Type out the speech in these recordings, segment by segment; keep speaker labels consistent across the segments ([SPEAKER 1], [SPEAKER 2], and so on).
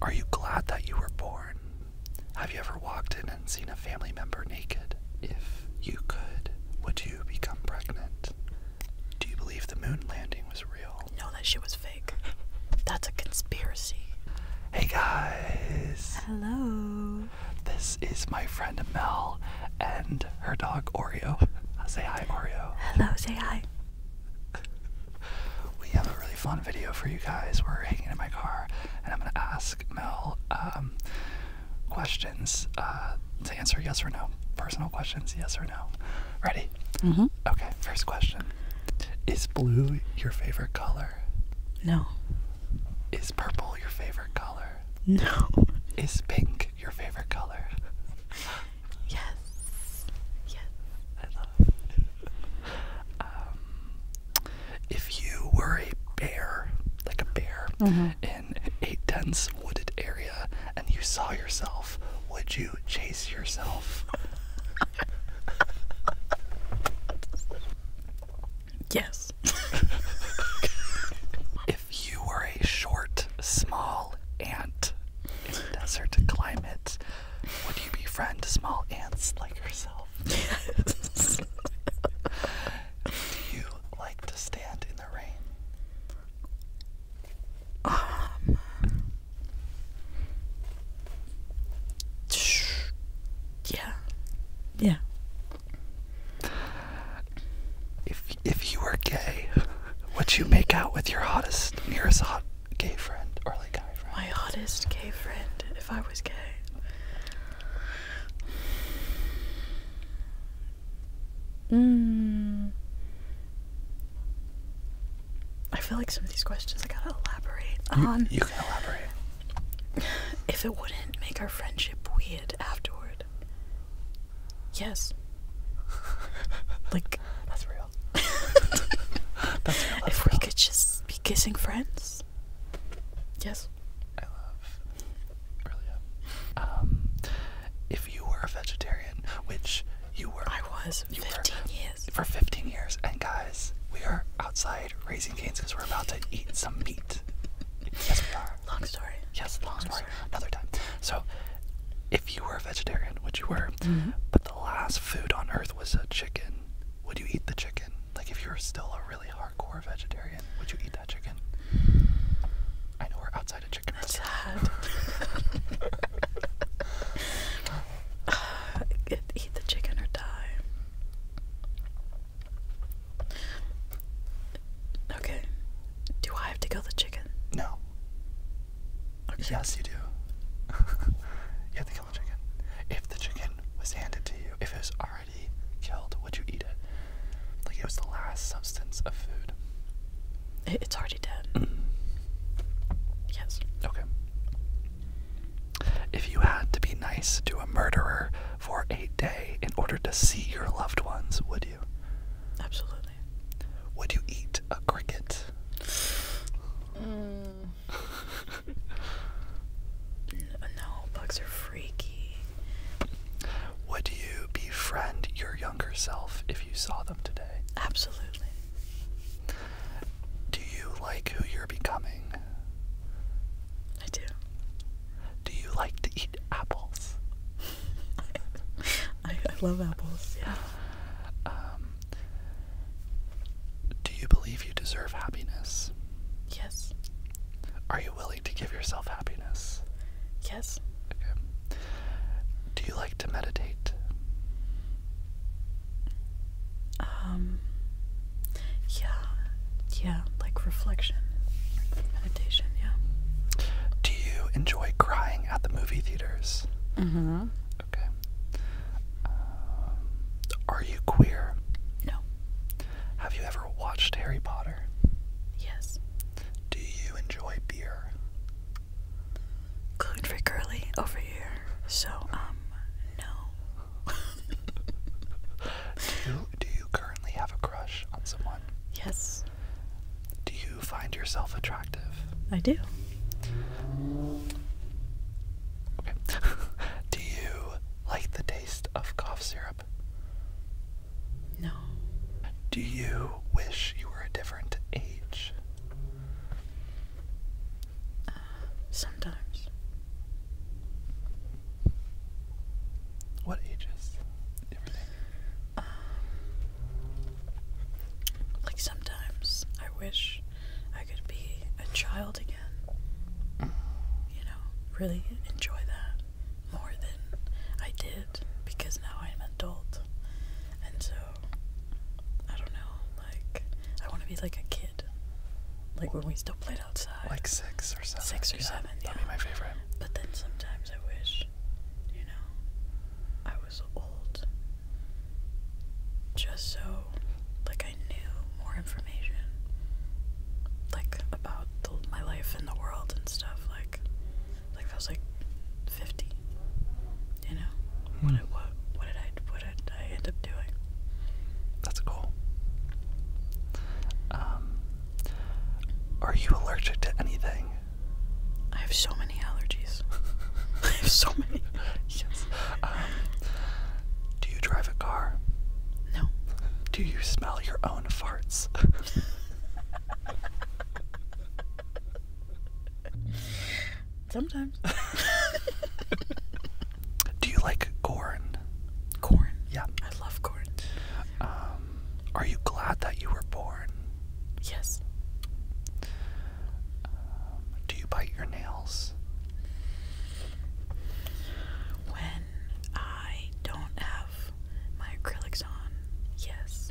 [SPEAKER 1] Are you glad that you were born? Have you ever walked in and seen a family member naked? If you could, would you become pregnant? Do you believe the moon landing was real? No, that shit was fake. That's a conspiracy. Hey guys!
[SPEAKER 2] Hello!
[SPEAKER 1] This is my friend Mel and her dog Oreo. Say hi, Oreo. Hello, say hi we have a really fun video for you guys. We're hanging in my car, and I'm gonna ask Mel um, questions uh, to answer yes or no. Personal questions, yes or no. Ready? Mm-hmm. Okay. First question: Is blue your favorite color? No. Is purple your favorite color? No. Is pink your favorite color? Yes. Yes. I love um, if you were a bear, like a bear, mm-hmm. in a dense wooded area and you saw yourself, would you chase yourself? yes. if you were a short, small ant in a desert climate, would you befriend small ants like yourself? Do you like to stand in the rain? Um. Yeah. Yeah. If if you were gay, would you make out with your hottest, nearest hot gay friend or like friend. My hottest
[SPEAKER 2] gay friend, if I was gay. Hmm. I feel like some of these questions I gotta elaborate on. You can elaborate. If it wouldn't make our friendship weird afterward. Yes like that's real. if we could just be kissing friends. Yes. I love Aurelia.
[SPEAKER 1] Um, if you were a vegetarian, which you were, I was you 15 years for 15 years. And guys, we are outside raising canes because we're about to eat some meat. Yes, we are. Long story. Yes, long, story. Another time. So, if you were a vegetarian, which you were, mm-hmm. but the the last food on earth was a chicken, would you eat the chicken? Like, if you're still a really hardcore vegetarian, would you eat that chicken? I know we're outside a chicken That's Sad. eat the chicken or die. Okay. Do I have to kill the chicken? No. Yes, you do. you have to kill the chicken. If the chicken was handed to you, if it was already killed, would you eat it? Like it was the last substance of food. It's already dead. Mm. Yes. Okay. If you had to be nice to a murderer for a day in order to see your loved ones, would you? Absolutely. Would you eat a cricket? Mm. no, bugs are freaky. Would you befriend your younger self if you saw them today? Absolutely. Do you like who you're becoming? I do. Do you like to eat apples? I
[SPEAKER 2] love apples, yeah. Um,
[SPEAKER 1] do you believe you deserve happiness? Yes. Are you willing to give yourself happiness? Yes. Okay. Do you like to meditate? Um, yeah,
[SPEAKER 2] yeah, like reflection, meditation, yeah.
[SPEAKER 1] Do you enjoy crying at the movie theaters?
[SPEAKER 2] Mm-hmm. Okay.
[SPEAKER 1] Um, are you queer? No. Have you ever watched Harry Potter? Yes. Do you enjoy beer? Gluten free curly over here. So, um, no. do, do you currently have a crush on someone? Yes. Do you find yourself attractive? I do. do you like the taste of cough syrup? No. Do you wish you were a different age? Uh, sometimes. What ages?
[SPEAKER 2] Um, like sometimes I wish I could be a child again. You know, really enjoy that more than I did because now I'm an adult. And so I don't know, like I want to be like a kid. Like when we still played outside. Like six or seven. Six or seven. Yeah. That'd be my favorite. But then sometimes I wish, you know, I was old. Just so, like, I knew more information. Like, about my life in the world and stuff. Like, like if I was like 50, you know? Hmm. What, what, what did I, what did I end up doing? That's cool. Um, are you allergic to anything? I have so many
[SPEAKER 1] allergies. I have so many. yes. Um, do you drive a car? No. Do you smell your own farts? Sometimes. Do you like corn? Corn. Yeah. I love corn. Um, are you glad that you were born? Yes. Um, do you bite your nails? When I don't have
[SPEAKER 2] my acrylics on, yes.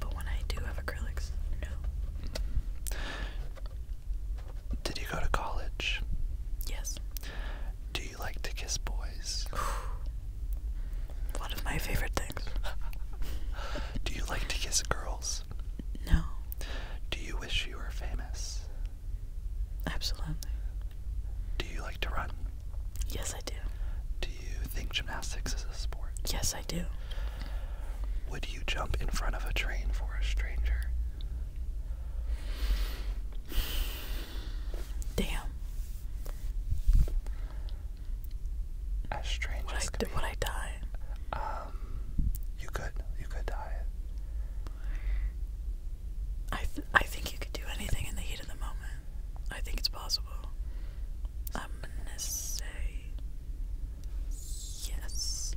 [SPEAKER 2] But when I do have acrylics, no.
[SPEAKER 1] Did you go to college? Yes. Do you like to kiss boys? One of my favorite things. Do you like to kiss girls? No. Do you wish you were famous? Absolutely. Do you like to run? Yes, I do. Do you think gymnastics is a sport? Yes, I do. Would you jump in front of a train for a stranger? Damn. As strange I, die? Um, you could. You could die. I I
[SPEAKER 2] think you could do anything in the heat of the moment. I think it's possible. I'm gonna
[SPEAKER 1] say yes.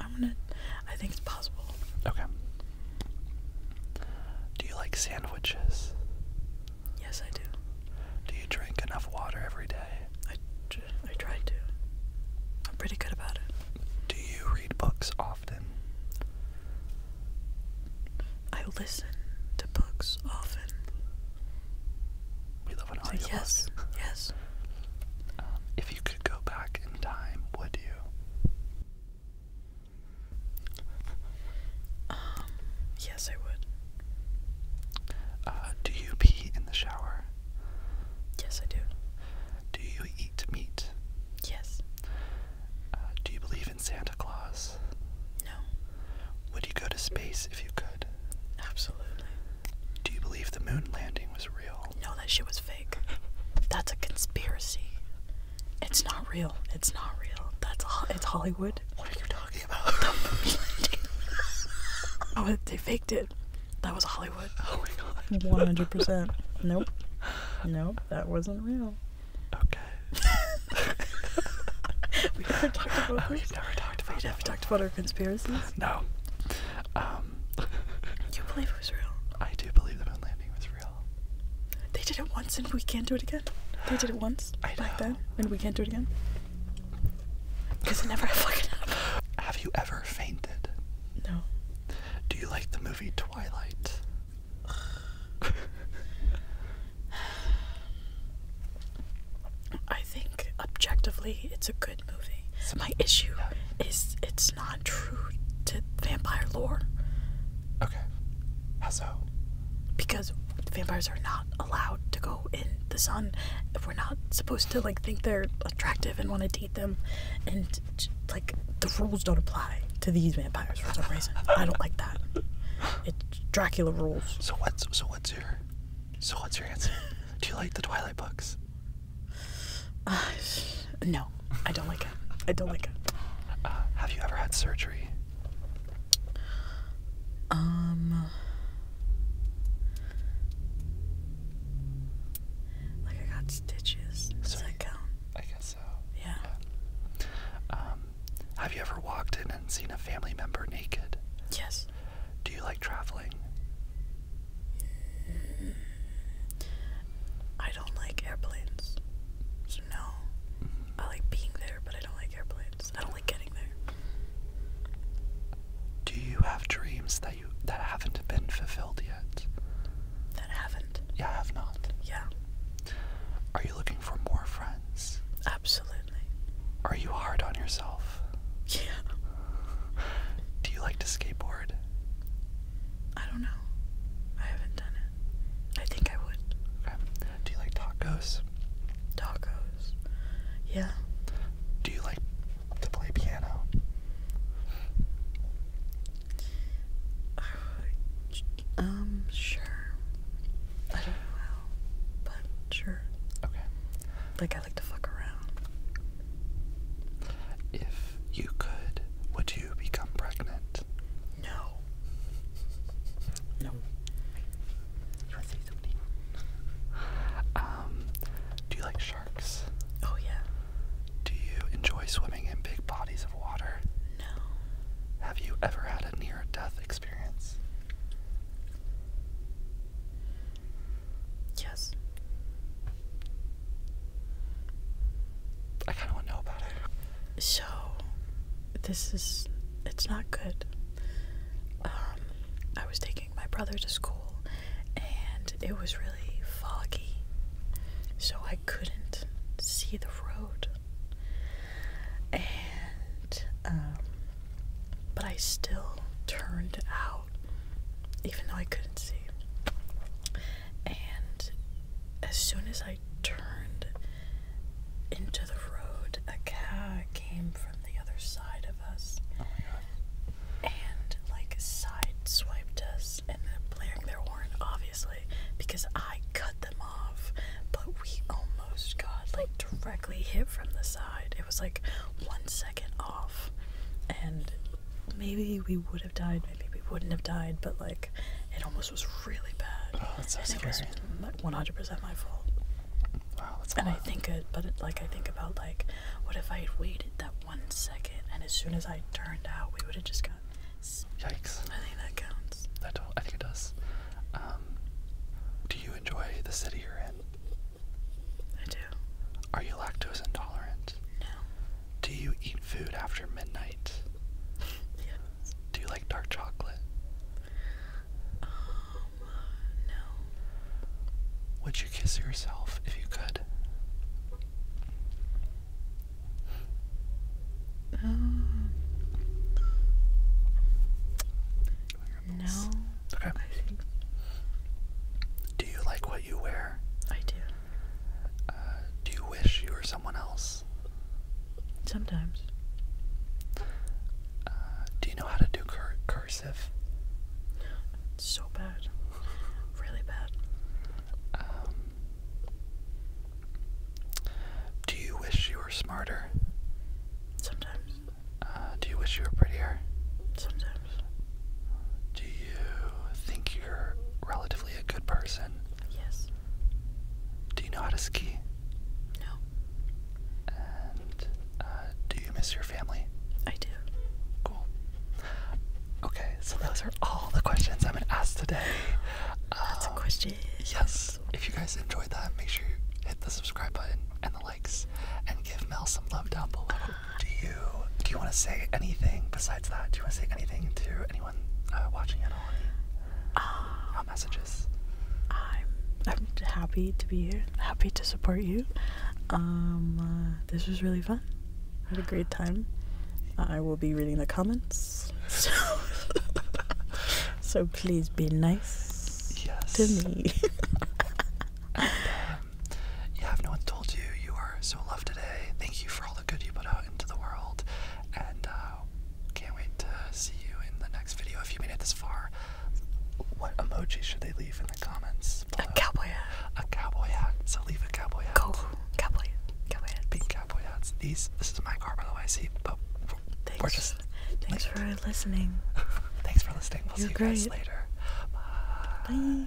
[SPEAKER 1] I'm gonna. I think it's possible. Okay. Do you like sandwiches? Yes, I do. Do you drink enough water every day? I, I try to. I'm pretty good about it. Do you read books
[SPEAKER 2] often? I listen to books often.
[SPEAKER 1] We love an audiobook. Yes, yes. Um, if you could go back in time, would you? Um, yes, I would. Uh, do you pee in the shower? Yes, I do. Do you eat meat? Yes. Uh, do you believe in Santa Claus? No. Would you go to space if you could? Absolutely. Do you believe the moon landing was real? No, that shit was fake.
[SPEAKER 2] That's a conspiracy. It's not real. It's not real. That's all. It's Hollywood. What are you talking about? oh, they faked it. That was Hollywood. Oh my god. One hundred percent. Nope. Nope. That wasn't real. Okay. we never talked about this. We've never talked about. We've talked about our conspiracies.
[SPEAKER 1] No. Um. you believe it was real? I do believe the moon landing was real.
[SPEAKER 2] They did it once and we can't do it again. They did it once I like that, and
[SPEAKER 1] we can't do it again. Because it never fucking happened. Have you ever fainted? No. Do you like the movie Twilight? I think
[SPEAKER 2] objectively it's a good movie. So my issue is it's not true to vampire lore. Okay. How so? Because vampires are not allowed to go in the sun. If we're not supposed to like think they're attractive and want to date them, and like the rules don't apply to these
[SPEAKER 1] vampires for some reason. I don't like that. It's Dracula rules. So what's so what's your so what's your answer? Do you like the Twilight books?
[SPEAKER 2] Uh, no. I don't like it. I don't like it.
[SPEAKER 1] Uh, have you ever had surgery?
[SPEAKER 2] Um.
[SPEAKER 1] Like I got stitches. Does Sorry. that count? I guess so. Yeah. Um, have you ever walked in and seen a family member naked? Yes. Do you like traveling? Mm. I don't like airplanes. no. I like being there, but I don't like airplanes. I don't like getting there. Do you have dreams that you that haven't been fulfilled yet? That haven't. Yeah, I have not. Yeah. Are you looking for more friends? Absolutely. Are you hard on yourself? Yeah. Do you like to skateboard?
[SPEAKER 2] I don't know. I haven't done it.
[SPEAKER 1] I think I would. Do you like tacos? Tacos.
[SPEAKER 2] Yeah. Do you like to play piano? Uh, um, sure. I don't know how, but sure. Okay. Like I like to fuck around. If you could,
[SPEAKER 1] would you you become pregnant? No. No. Um, do you like sharks? Oh, yeah. Do you enjoy swimming in big bodies of water? No. Have you ever had a near death experience? Yes.
[SPEAKER 2] I kind of want to know about it. So, this is. It's not good. Um, I was taking my brother to school and it was really foggy. So I couldn't see the road. And, um, but I still turned out, even though I couldn't see and as soon as I turned into the road, a car came from the other side of us oh my God. and like sideswiped us and blaring their horn, obviously, because I cut them off. But we almost got like directly hit from the side. It was like one second off, and maybe we would have died, maybe we wouldn't have died, but like it almost was really bad. Oh, it was 100% my fault. Wow, that's And I think it, but like I think about like, what if I waited that one second, and as soon as I turned out, we would have just gotten.
[SPEAKER 1] Yikes! I think that counts. That I think it does. Um, do you enjoy the city you're in? I do. Are you lactose intolerant? No. Do you eat food after midnight? yes. Do you like dark chocolate? Um, no. Would you kiss yourself if you could?
[SPEAKER 2] Um, no.
[SPEAKER 1] Okay. Do you like what you wear? I do. Uh, do you wish you were someone else? Sometimes. Uh, do you know how to do cursive? so bad. really bad. Um, do you wish you were smarter? Sometimes. Uh, do you wish you were prettier? Sometimes. Do you think you're relatively a good person? Yes. Do you know how to ski? No. And uh, do you miss your family? I do. Cool. Okay, so those are all the questions I'm gonna ask today. Lots um, of Yes. If you guys enjoyed that, make sure you hit the subscribe button and the likes, and give Mel some love down below. Do you do you want to say anything besides that? Do you want to say anything to anyone uh, watching at all? Any um, messages?
[SPEAKER 2] I'm I'm happy to be here. Happy to support you. Um, uh, this was really fun. I had a great time. I will be reading the comments. So,
[SPEAKER 1] so please be nice to me. You have no one told you, you are so loved today. Thank you for all the good you put out into the world, and uh, can't wait to see you in the next video. If you made it this far, what emoji should they leave in the comments? A cowboy hat. A cowboy hat. So leave a cowboy hat. Go cowboy. Cowboy hats. Big cowboy hats. These. This is my car, by the way. See, but Thanks. Thanks for listening. Thanks for listening. We'll see you guys later. Bye.